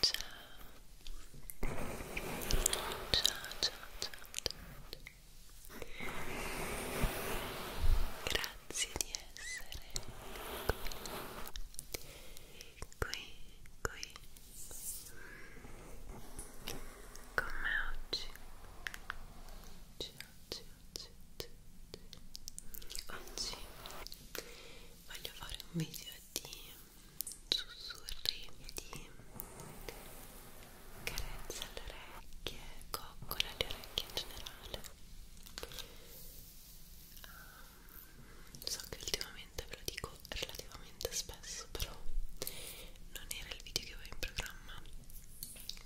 Cha. Cha, cha, cha, cha. Grazie di essere qui, qui, qui. Come oggi, oggi, oggi. Oggi voglio fare un video di sussurri e di carezze alle orecchie, coccole alle orecchie in generale um, so che ultimamente ve lo dico relativamente spesso però non era il video che avevo in programma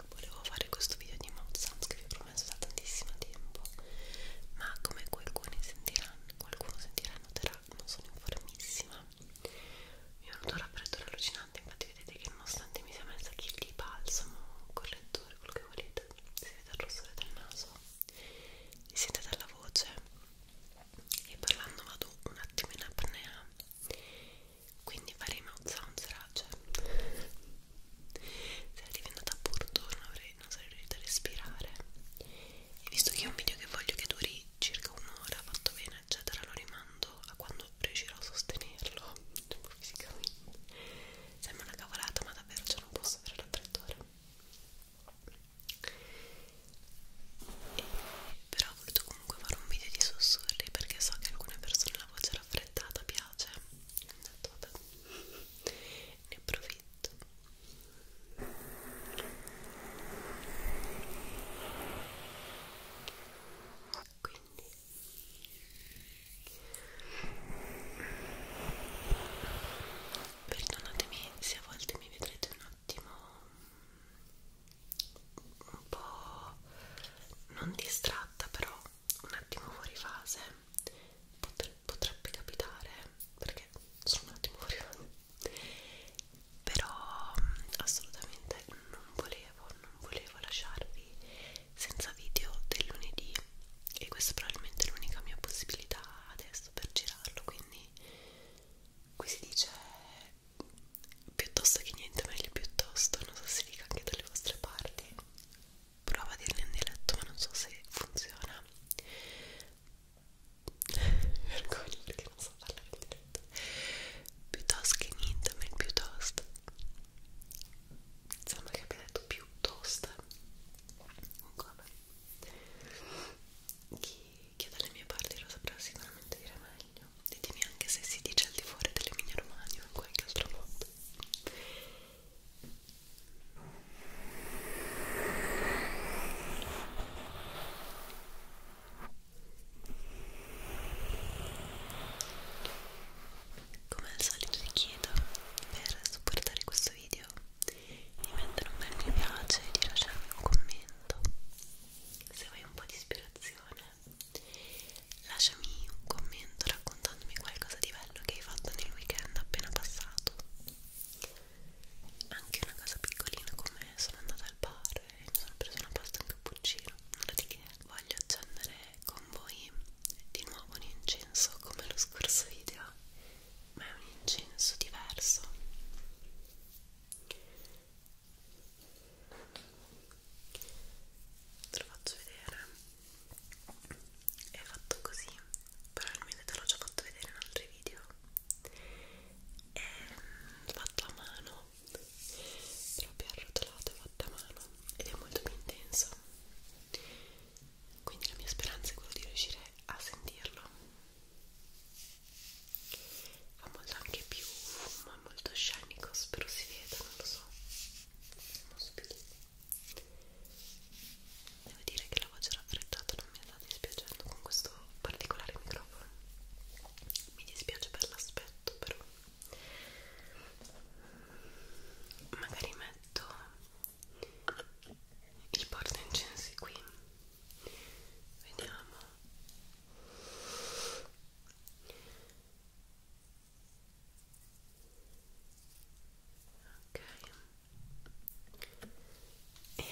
volevo fare questo video di mouth sounds che vi ho ci ho messo da tantissimo tempo ma come qualcuno sentirà qualcuno sentirà noterà non sono informissima mi è venuto un raffreddore allucinante infatti vedete che nonostante mi sia messa chi di balsamo correttore quello che volete si vede il rossore del naso si sente dalla voce e parlando vado un attimo in apnea quindi faremo sound serage sarei diventata burtorno, avrei, non sarei riuscita a respirare e visto che è un video che voglio che duri circa un'ora, fatto bene eccetera, lo rimando a quando riuscirò a sostenerlo fisicamente sembra una cavolata ma davvero ce cioè non posso avere l'attrattore e, però ho voluto comunque fare un video di sussurri perché so che a alcune persone la voce raffreddata piace ho detto, ne approfitto quindi perdonatemi se a volte mi vedrete un attimo un po' non distratta però un attimo fuori fase potre, potrebbe capitare perché sono un attimo fuori fase però mm, assolutamente non volevo non volevo lasciarvi senza video del lunedì e questa è probabilmente l'unica mia possibilità adesso per girarlo quindi qui si dice piuttosto che niente meglio piuttosto non so se dica anche dalle vostre parti prova a dirne in dialetto ma non so se funziona vergogno perché non so parlare in dialetto piuttosto che niente ma il piuttosto sembra che abbia detto piuttosto comunque vabbè chi, chi è dalle mie parti lo saprà sicuramente dire meglio ditemi anche se si dice al di fuori dell'Emilia Romagna o in qualche altro modo come al solito ti chiedo per supportare questo video di mettere un bel mi piace e di lasciarmi un commento. Se vuoi un po' di ispirazione, lasciami un commento raccontami raccontandomi qualcosa di bello che hai fatto nel weekend appena passato anche una cosa piccolina come sono andata al bar e mi sono presa una pasta e un cappuccino nulla di che voglio accendere con voi di nuovo un incenso come lo scorso video ma è un incenso diverso te lo faccio vedere è fatto così probabilmente te l'ho già fatto vedere in altri video è fatto a mano proprio arrotolato fatto a mano ed è molto più intenso quindi la mia speranza è quella di riuscire a sentirlo ha molto anche più fumo, è molto scenico spero si veda, non lo so è uno spirito Devo dire che la voce raffreddata non mi sta dispiacendo con questo particolare microfono. Mi dispiace per l'aspetto, però magari metto il porta incensi qui. Vediamo ok e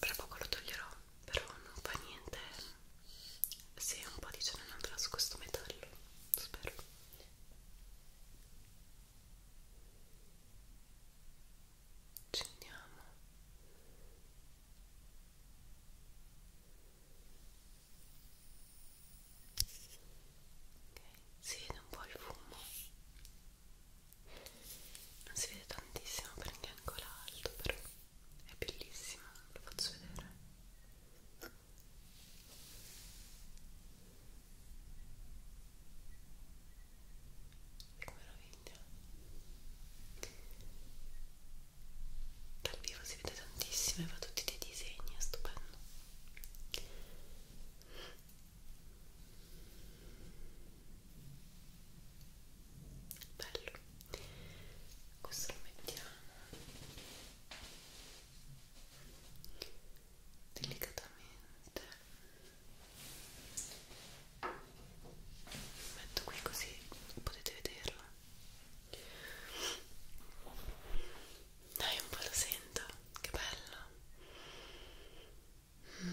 tra poco lo toglierò però non fa niente se un po' di ce ne andrà su questo metallo spero ci andiamo Okay. Si vede un po' il fumo, non si vede tantissimo perché è ancora alto, però è bellissimo, lo faccio vedere. Che meraviglia! Dal vivo si vede tantissimo e fa tutti dei disegni, è stupendo bello questo lo mettiamo delicatamente lo metto qui così potete vederlo dai, un po' lo sento, che bello. Mm.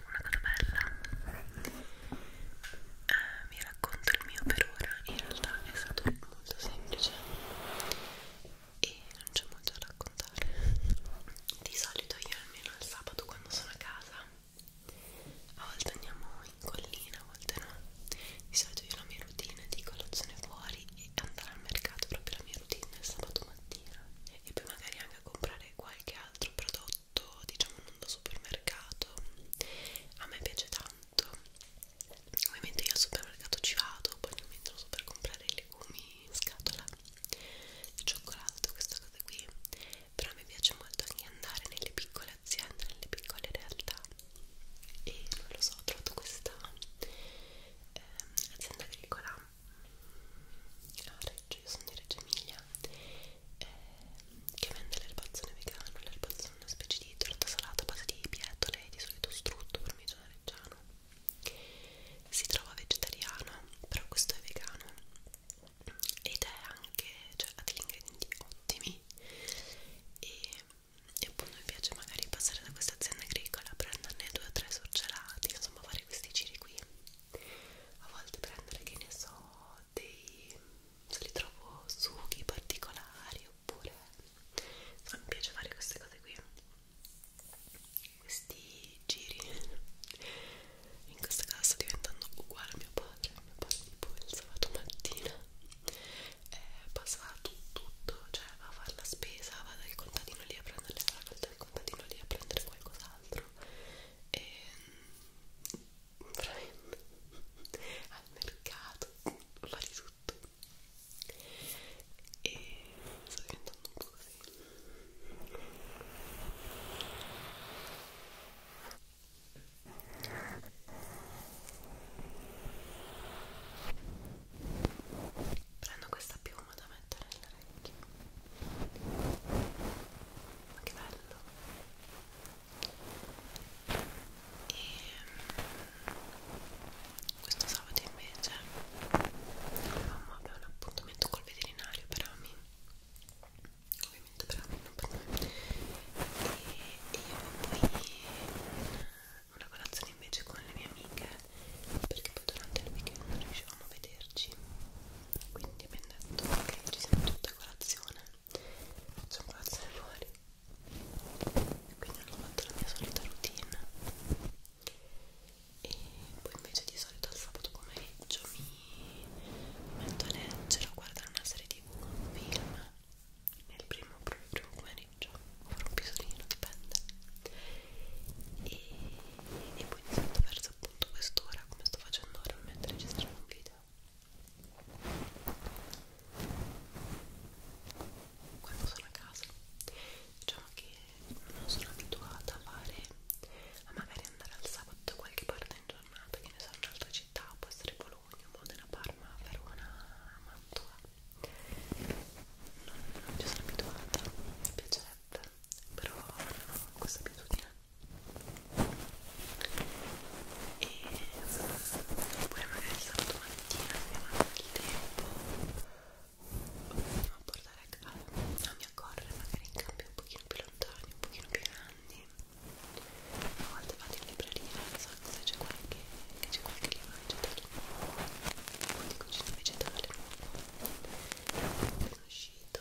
trovato una mano bella eh, vi racconto il mio per ora in realtà è stato molto semplice e non c'è molto da raccontare di solito io almeno il sabato quando sono a casa a volte andiamo in collina, a volte no di solito io la mia routine di colazione fuori e andare al mercato proprio la mia routine il sabato mattina e poi magari anche a comprare qualche altro prodotto prodotto diciamo non da supermercato a me piace tanto ovviamente io al supermercato ci vado poi non mi entro so per comprare i legumi in scatola il cioccolato questa cosa qui però mi piace molto anche andare nelle piccole aziende nelle piccole realtà e non lo so ho trovato questa eh, azienda agricola a ah, Reggio, io sono di Reggio Emilia eh, che vende l'erbazzone vegano, l'erbazzone è una specie di torta salata a base di pietole e di solito strutto parmigiano reggiano si trova vegetariana, però questo è vegano ed è anche, cioè ha degli ingredienti ottimi e, e appunto mi piace magari passare da questa azienda agricola, prenderne due o tre surgelati, insomma fare questi giri qui a volte prendere che ne so dei se li trovo succhi particolari oppure so, mi piace fare queste cose qui questi giri in questo caso sto diventando uguale a mio padre mio padre tipo il sabato mattina eh, passava tu, tutto cioè va a fare la spesa va dal contadino lì a prendere le raccolte dal contadino lì a prendere qualcos'altro e veramente al mercato, fa di tutto e sto diventando un po' così prendo questa piuma da mettere orecchie ma che bello e ehm, questo sabato invece mamma aveva un appuntamento col veterinario per Ami ovviamente per Ami non per me e, e io poi una colazione invece con le mie amiche perché poi durante il weekend non riuscivamo a vederci quindi abbiamo detto che ci siamo tutte a colazione facciamo colazione fuori quindi hanno fatto la mia solita routine e poi invece di solito il sabato pomeriggio mi metto a leggere o guardare una serie tv o un film nel primo primo pomeriggio o un pisolino dipende e, e poi di solito verso appunto quest'ora come sto facendo ora mentre registro un video quando sono a casa diciamo che non sono abituata a fare a magari andare al sabato da qualche parte in giornata che ne so in un'altra città può essere Bologna, Modena, Parma, Verona, Mantua non, non ci sono abituata mi piacerebbe però non ho questa abitudine e poi magari sabato mattina se non ho il tempo a portare a casa a mi accorre magari in campi un pochino più lontani un pochino più grandi a volte vado in libreria non so se c'è qualche che c'è qualche libro vegetale o di cucina vegetale è uscito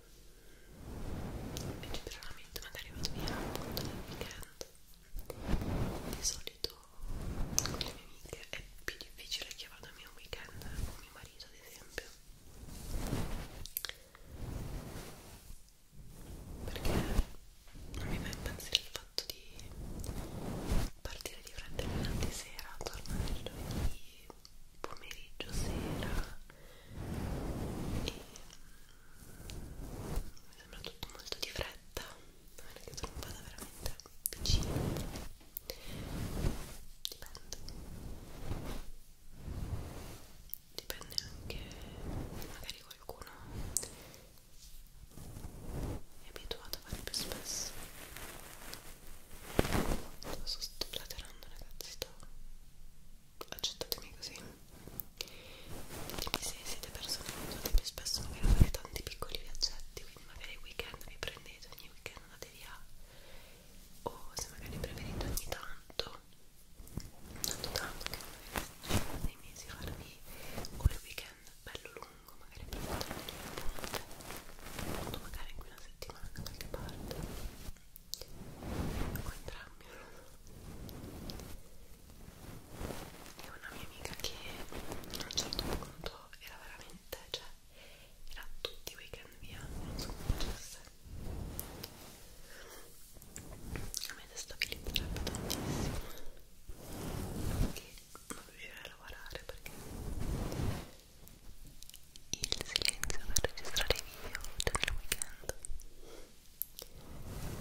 invece per la mente magari vado via appunto nel weekend di solito con le mie amiche è più difficile che vada a mio weekend con mio marito ad esempio perché non mi fa impazzire il fatto di partire di fretta il venerdì sera tornare il giovedì pomeriggio, sera e mm, mi sembra tutto molto di fretta non è che sono vada veramente vicino dipende dipende anche magari qualcuno è abituato a fare più spesso sto, sto platerando ragazzi sto accettatemi così ditemi se siete persone che usate spesso magari fare tanti piccoli viaggetti quindi magari il weekend vi prendete ogni weekend andate via o se magari preferite ogni tanto tanto tanto che magari nei mesi farvi o il weekend bello lungo magari prendete ogni punto magari in una settimana da qualche parte o ecco entrambi e una mia amica che a un certo punto era veramente, cioè era tutti i weekend via, non so come facesse a me destabilizzerebbe tantissimo che non riuscirei a lavorare perché il silenzio per registrare i video del weekend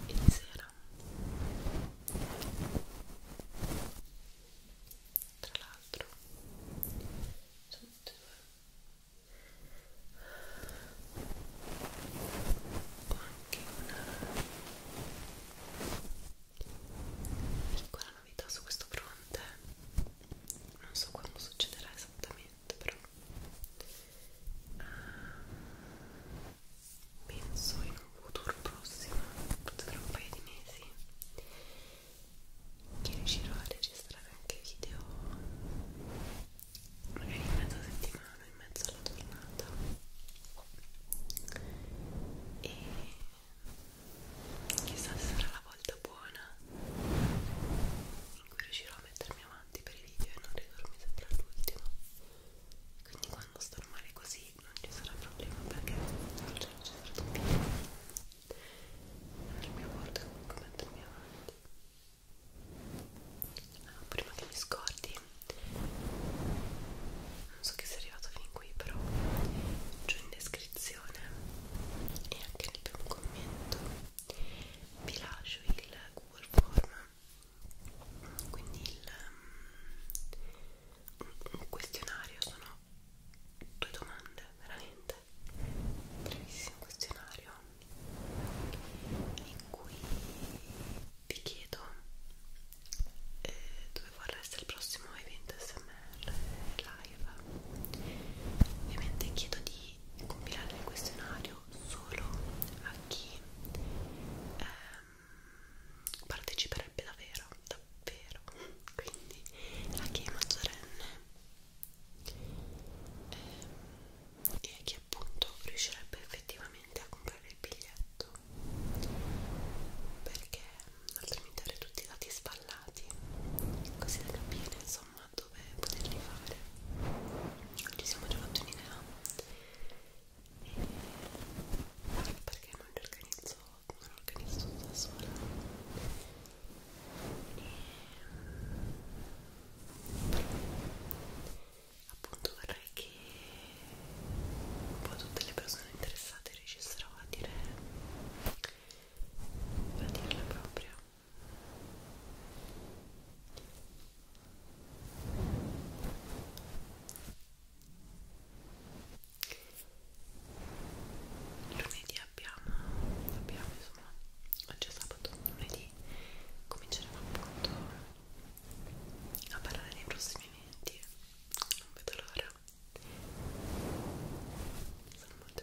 e di sera tra l'altro sono tutte due ho anche una piccola novità su questo fronte non so quando succederà esattamente momento però uh, penso in un futuro prossimo tra un paio di mesi che riuscirò a registrare anche video magari in mezza settimana in mezzo alla giornata e chissà se sarà la volta buona in cui riuscirò a mettermi avanti per i video e non ridurmi sempre all'ultimo quindi quando sto male così non ci sarà problema perché non c'è certo video il mio bordo comunque mettermi avanti ah, prima che mi scordi non so che sei arrivato fin qui però giù in descrizione e anche nel primo commento vi lascio il Google Form quindi il, um, un questionario sono due domande veramente brevissimo questionario in cui vi chiedo eh, dove vorrà essere il prossimo evento smr live ovviamente chiedo di di compilare il questionario solo a chi ehm, parteciperebbe davvero, davvero, quindi a chi è maggiorenne ehm, e a chi appunto riuscirebbe effettivamente a comprare il biglietto perché altrimenti avrei tutti i dati sballati così da capire insomma insomma dove poterli fare ci siamo già fatti un'idea e perché non li organizzo non organizzo da sola e però appunto vorrei che un po' tutte le persone interessate riuscissero a dire a dire la propria Lunedì abbiamo, abbiamo insomma, oggi è sabato, lunedì cominceremo appunto a parlare dei prossimi eventi, non vedo l'ora sono molto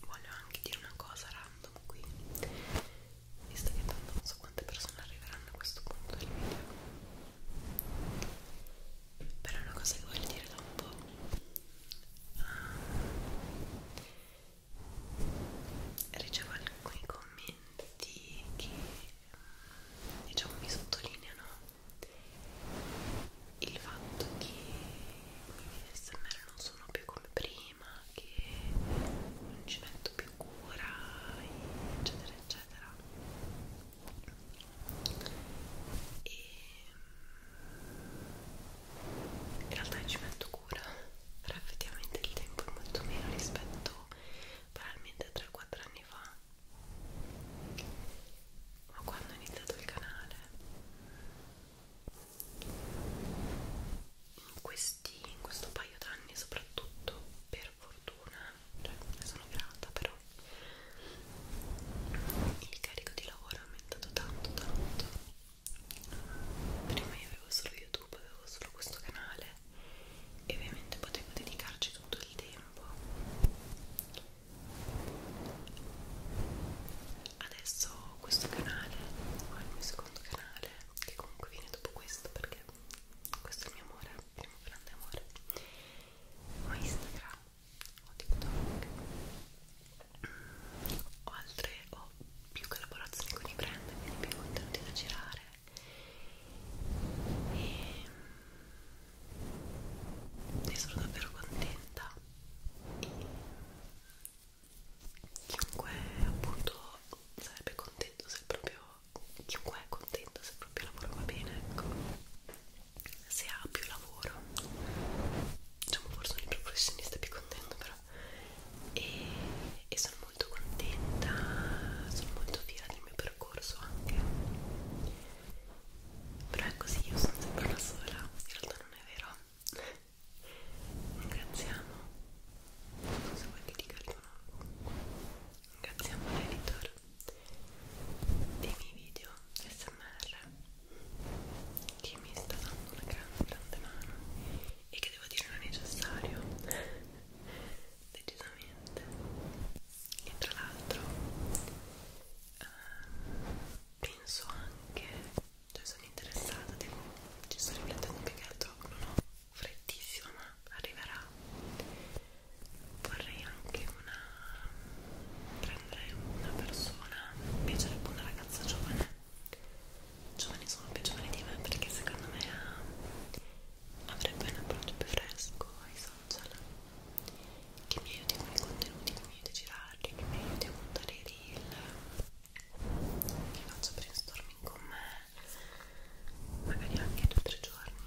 Voglio anche dire una cosa random qui, visto che tanto non so quante persone arriveranno a questo punto del video, però è una cosa che voglio dire da un po'. Ah, ricevo alcuni commenti che diciamo mi sottolineano il fatto che i smr non sono più come prima, che non ci metto più cura, eccetera, eccetera. E in realtà ci metto scura però effettivamente il tempo è molto meno rispetto probabilmente 3-4 anni fa ma quando ho iniziato il canale in, questi, in questo paio d'anni soprattutto per fortuna cioè ne sono grata però il carico di lavoro è aumentato tanto tanto prima io avevo solo youtube avevo solo questo canale e ovviamente potevo dedicarci tutto il tempo adesso questo canale ho il mio secondo canale che comunque viene dopo questo perché questo è il mio amore il primo grande amore ho instagram ho tiktok ho altre ho più collaborazioni con i brand quindi più contenuti da girare e, mm, e sono davvero contenta e mm, chiunque appunto sarebbe contento se proprio chiunque è contento se proprio il lavoro va bene ecco se ha più lavoro diciamo forse un professionista è più contento però e, e sono molto contenta, sono molto fiera del mio percorso anche però è così, io sono sempre una sola, in realtà non è vero ringraziamo non so che dica il tuo nome ringraziamo l'editor dei miei video smr che mi sta dando una grande grande mano e che devo dire non è necessario decisamente e tra l'altro uh, penso anche cioè sono interessata devo, ci sto riflettendo più che altro non ho frettissima ma arriverà vorrei anche una prendere una persona mi piacerebbe una ragazza giovane giovani sono più giovani di me perché secondo me ah, avrebbe un approccio più fresco ai social che mi aiuti con i contenuti, che mi aiuti a girarli, che mi aiuti a montare i reel che faccio brainstorming con me magari anche 2-3 giorni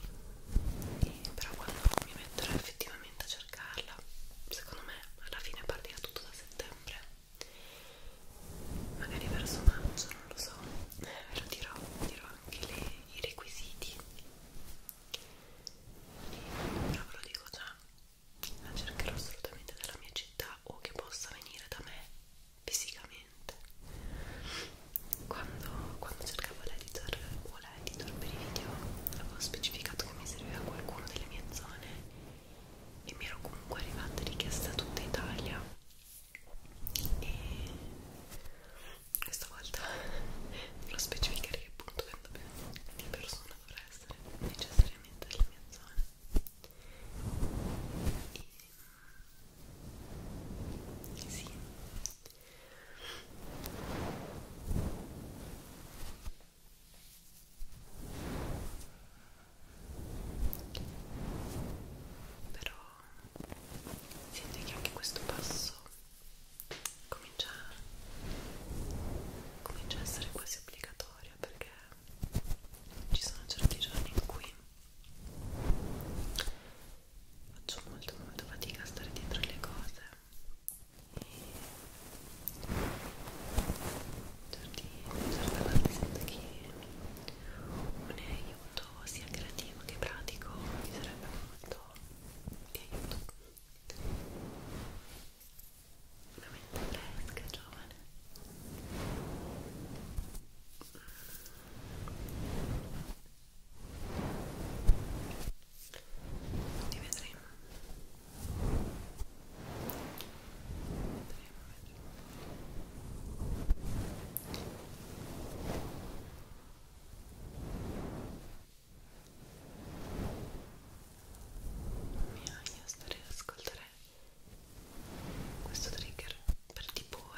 e però quando mi metterò effettivamente a cercarla secondo me alla fine partirà tutto da settembre magari verso maggio, non lo so, ve eh, lo dirò, dirò anche le, i requisiti, però ve lo dico già, la cercherò assolutamente dalla mia città o che possa venire da me fisicamente. Quando, quando cercavo l'editor o l'editor per i video avevo specificato che mi serviva qualcuno delle mie zone e mi ero comunque arrivate richieste da tutta Italia e questa volta dovrò specificare che appunto quanto di persona dovrà essere necessariamente della mia zona e, e sì però senti che anche questo passo comincia, comincia a essere quasi obbligatorio perché ci sono certi giorni in cui faccio molto molto fatica a stare dietro le cose e giardino, certe volte sento che un aiuto sia creativo che pratico mi sarebbe molto di aiuto una mente fresca, giovane ti vedremo mi agio stare ad ascoltare questo trigger per tipo ora.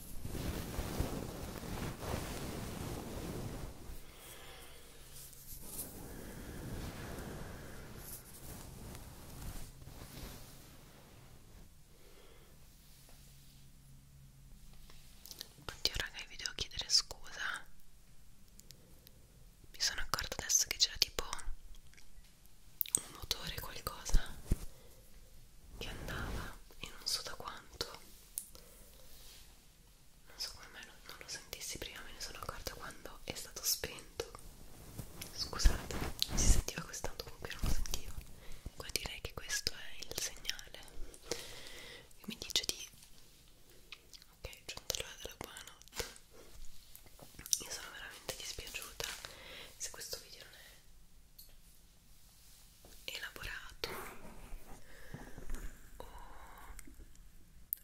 Oddio raga vi devo chiedere scusa Mi sono accorta adesso che c'era tipo un motore qualcosa che andava e non so da quanto non so come mai non, non lo sentissi prima me ne sono accorta quando è stato spento scusate non si sentiva così tanto comunque non lo sentivo qua direi che questo è il segnale che mi dice di ok giunta l'ora della buonanotte io sono veramente dispiaciuta se questo video non è elaborato o,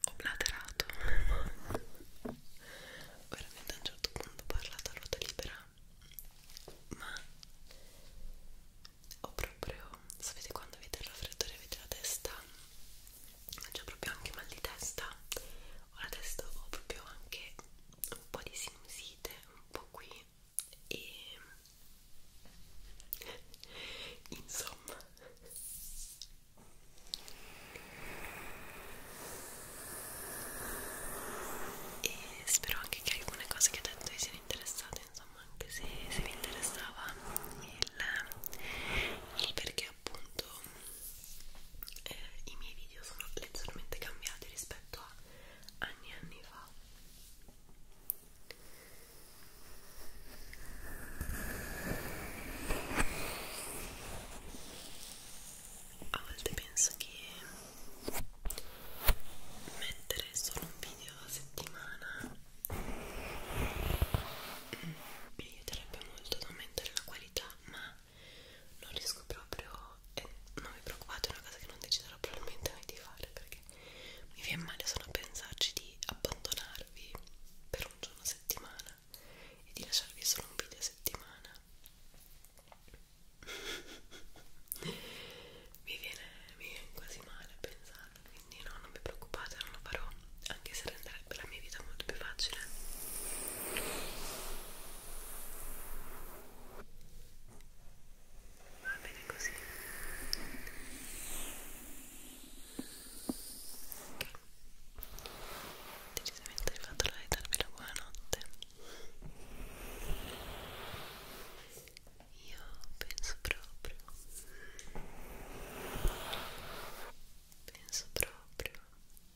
o blaterato veramente a un certo punto ho parlato a ruota libera ma ho proprio sapete quando avete il raffreddore avete la testa c'è proprio anche mal di testa ho la testa ho proprio anche un po' di sinusite un po' qui e insomma e spero anche che alcune cose che ho detto vi siano interessate insomma anche se, se vi interessava il, il perché appunto eh, i miei video sono leggermente cambiati rispetto a anni e anni fa a volte penso che mettere solo un video a settimana mi aiuterebbe molto ad aumentare la qualità ma non riesco proprio e non vi preoccupate è una cosa che non deciderò probabilmente mai di fare perché mi viene male solo a pensarci di abbandonarvi per un giorno a settimana e di lasciarvi solo un video a settimana mi, viene, mi viene quasi male a pensarlo quindi no, non vi preoccupate, non lo farò anche se renderebbe la mia vita molto più facile va bene così decisamente hai fatto la di darmi la buonanotte io penso proprio penso proprio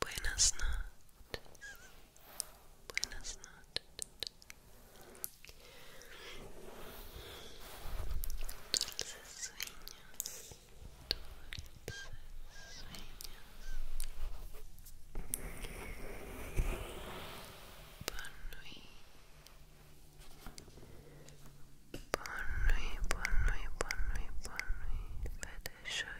Buenas noches. Buenas noches. Dulces sueños. Dulces sueños. Bonui. Bonui, bonui, Fede,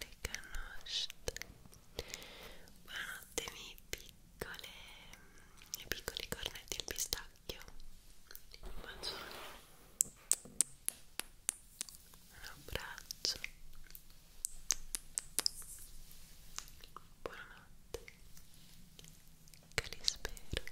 le canastre buonanotte miei piccole miei piccoli cornetti al pistacchio un bacione un abbraccio buonanotte che li spero